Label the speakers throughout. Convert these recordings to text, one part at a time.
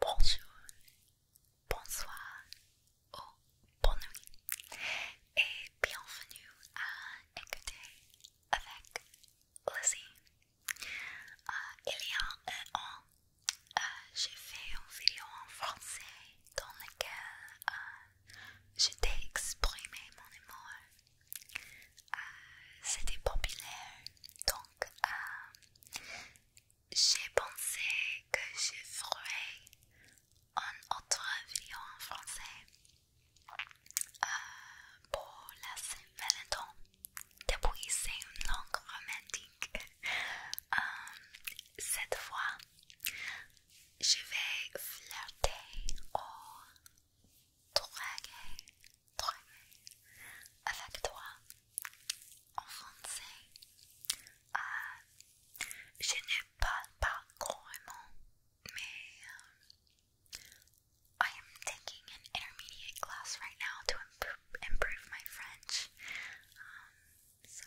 Speaker 1: Bonjour, bonsoir ou bonne nuit et bienvenue à écouter avec Lizzie. Euh, il y a un an, euh, j'ai fait une vidéo en français dans laquelle euh, j'ai exprimé mon amour. Euh, c'était populaire, donc euh, j'ai pensé que je ferais une autre vidéo en français euh, pour la Saint-Valentin. Depuis, c'est une langue romantique. cette fois, je vais flirter ou draguer, avec toi en français. Euh, je ne parle pas couramment, mais um, I am taking an intermediate class right now to improve, my French. Um, so,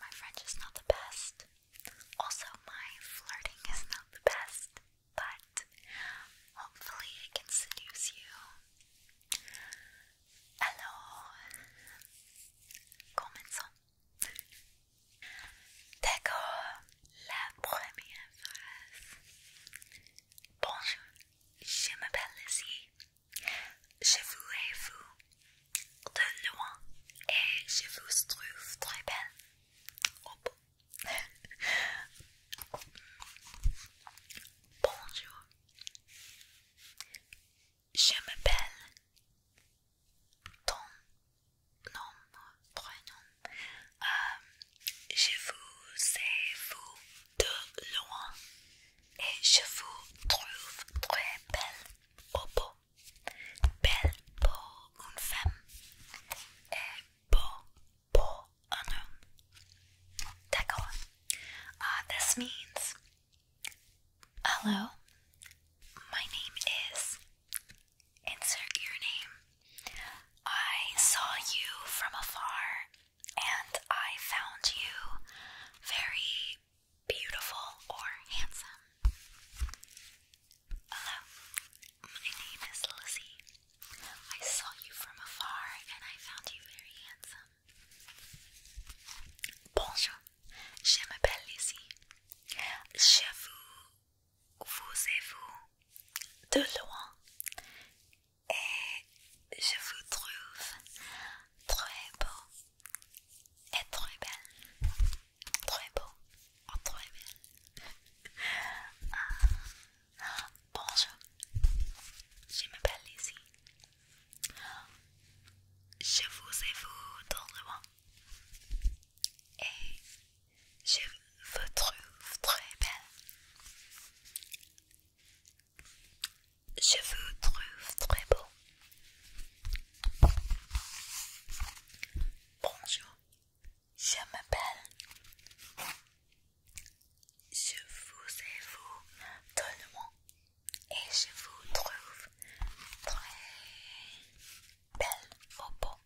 Speaker 1: my French is not the best. Also, my flirting is not the best, but hopefully I can seduce you. Alors, commençons. D'accord, la première phrase. Bonjour, je m'appelle Lizzie. Je vous vous. de loin et je vous trouve très belle. au Bonjour. Je m'appelle ton nom, prénom. Euh, je vous sais vous de loin et je vous trouve très belle. au Belle pour femme et eh, beau pour un homme. D'accord. Uh, this means hello, my name is. Insert your name. I saw you from afar and I found you very beautiful, or handsome. Hello, my name is Lizzie. I saw you from afar and I found you very handsome. Bonjour, je m'appelle Lizzie. Je vous, vous et vous, de loin. Et je vous trouve très beau. est très belle, très beau, oh, très belle. Euh, bonjour, je m'appelle Lizzie. Je vous ai vu dans le monde et je vous trouve très belle. Je vous trouve très beau. Bonjour, je m'appelle. Je vous ai vous tout et je vous trouve très belle au beau.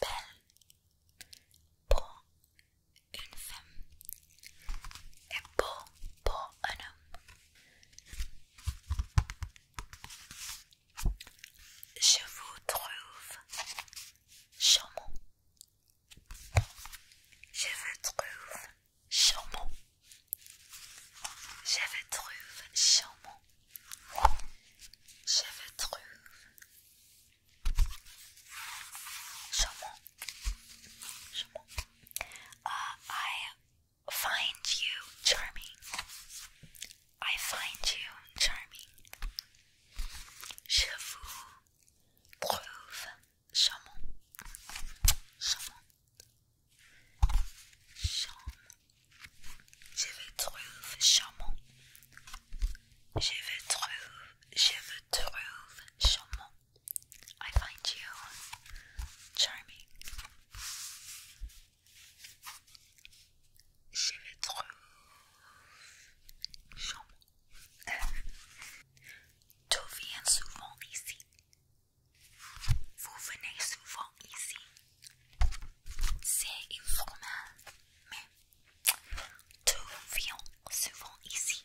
Speaker 1: Belle pour une femme et beau pour un homme. Je vous trouve charmant. Je vous trouve charmant. Je vous trouve charmant. Je vous trouve charmant. Charmant. Ah, find you charming. I find you charming. Je vous trouve charmant. Charmant. Charmant. Je vous trouve charmant. Je vous trouve, je vous trouve charmant. I find you charming. Je souvent ici. Vous venez souvent ici. C'est informel, mais tu souvent ici.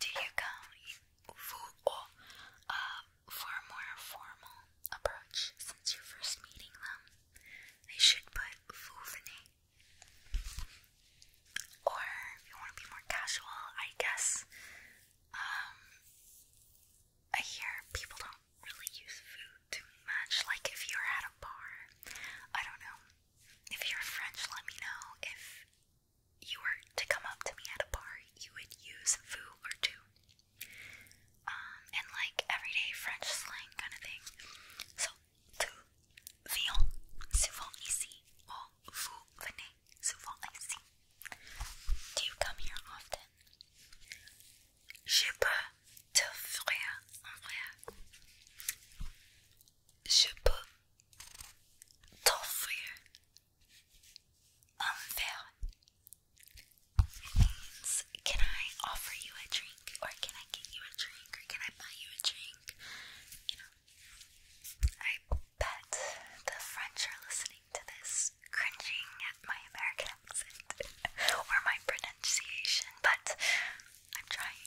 Speaker 1: Do you come for, uh, for a more formal approach since you're first meeting them? I should put Fouvene. Or if you want to be more casual, I guess. Um, I hear people don't really use food too much. Like if you're at a bar, I don't know. If you're French, let me know. If you were to come up to me at a bar, you would use vu or tu. Um, like everyday French slang kind of thing. So, tu viens souvent ici, or oh, vous venez souvent ici. Do you come here often? Je peux te faire un um, can I offer you a drink? Or can I get you a drink? Or can I buy you a drink? You know, I bet the French are listening to this, cringing at my American accent or my pronunciation, but I'm trying.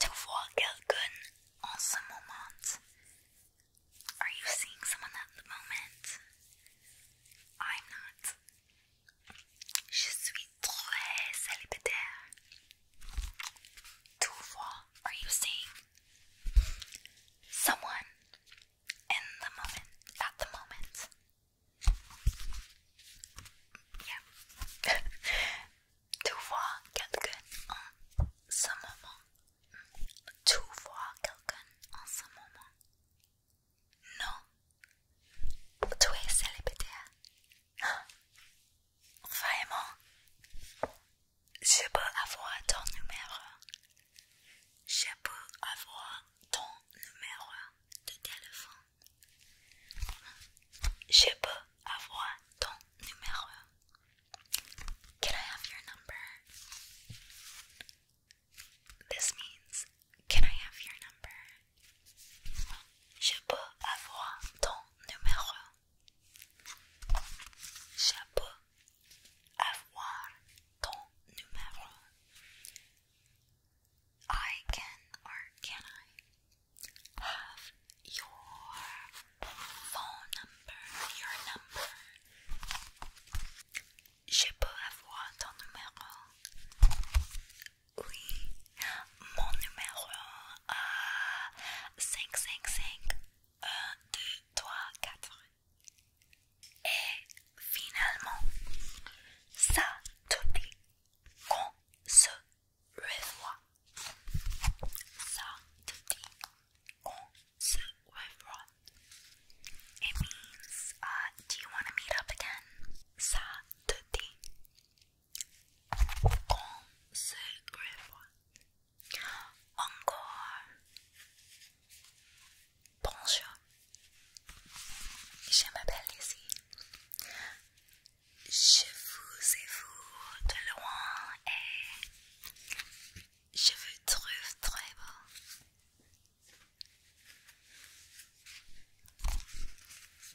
Speaker 1: de voir quelqu'un en ce moment? Are you seeing someone at the moment? I'm not. Je suis très célibataire. Tout voir, are you seeing someone in the moment, at the moment? tu vois quelqu'un en ce moment. Tu vois quelqu'un en ce moment. Non. Tu es célibataire. Vraiment? Je peux avoir ton numéro. Je peux avoir ton numéro de téléphone. Je peux avoir ton numéro. Can I have your number? This means, can I have your number? Je peux avoir ton numéro. Je peux avoir ton numéro. I can or can I have your phone number, your number? Je peux avoir ton numéro? Oui, mon numéro euh, 555 1, 2, 3, 4. Et finalement, ça te dit qu'on se revoit. Ça te dit qu'on se revoit. It means, uh, do you want to meet up again? Ça te dit qu'on se revoit. Encore. Bonjour. Je m'appelle Lizzie. Je vous ai vous de loin et eh, je vous trouve très beau.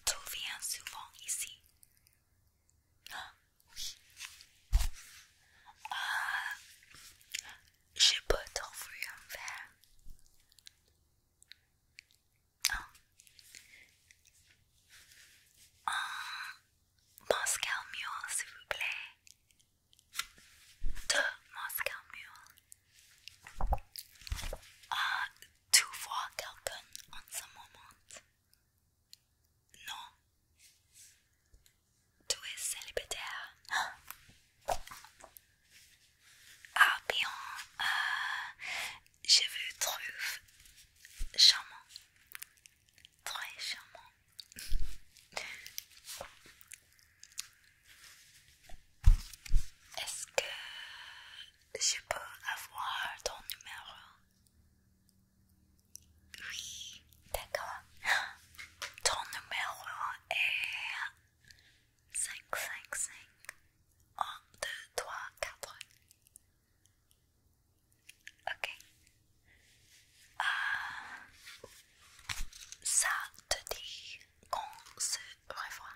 Speaker 1: Tout vient souvent ici. Ah, oui. je peux t'offrir un verre. Oh. Un Moscow Mule, s'il vous plaît. Deux Moscow Mule. Ah, tu vois quelqu'un en ce moment? Non. Tu es célibataire. Ah bien, euh, je vous trouve charmant, très charmant. Est-ce que je peux avoir ton numéro? Oui, d'accord. Ton numéro est 5, 5, 5. 1, 2, 3, 4. Ok. Euh, ça te dit qu'on se revoit.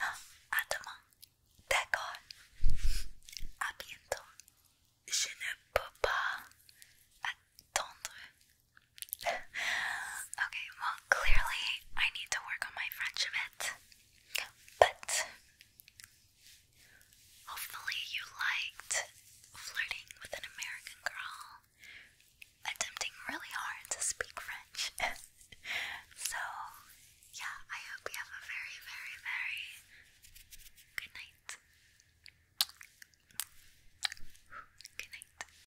Speaker 1: Ah, à demain. D'accord. À bientôt. Je ne peux pas attendre okay, well, clearly I need to work on my French a bit. But hopefully, you liked flirting with an American girl, attempting really hard to speak French. so, yeah, I hope you have a very, very, very good night. Good night.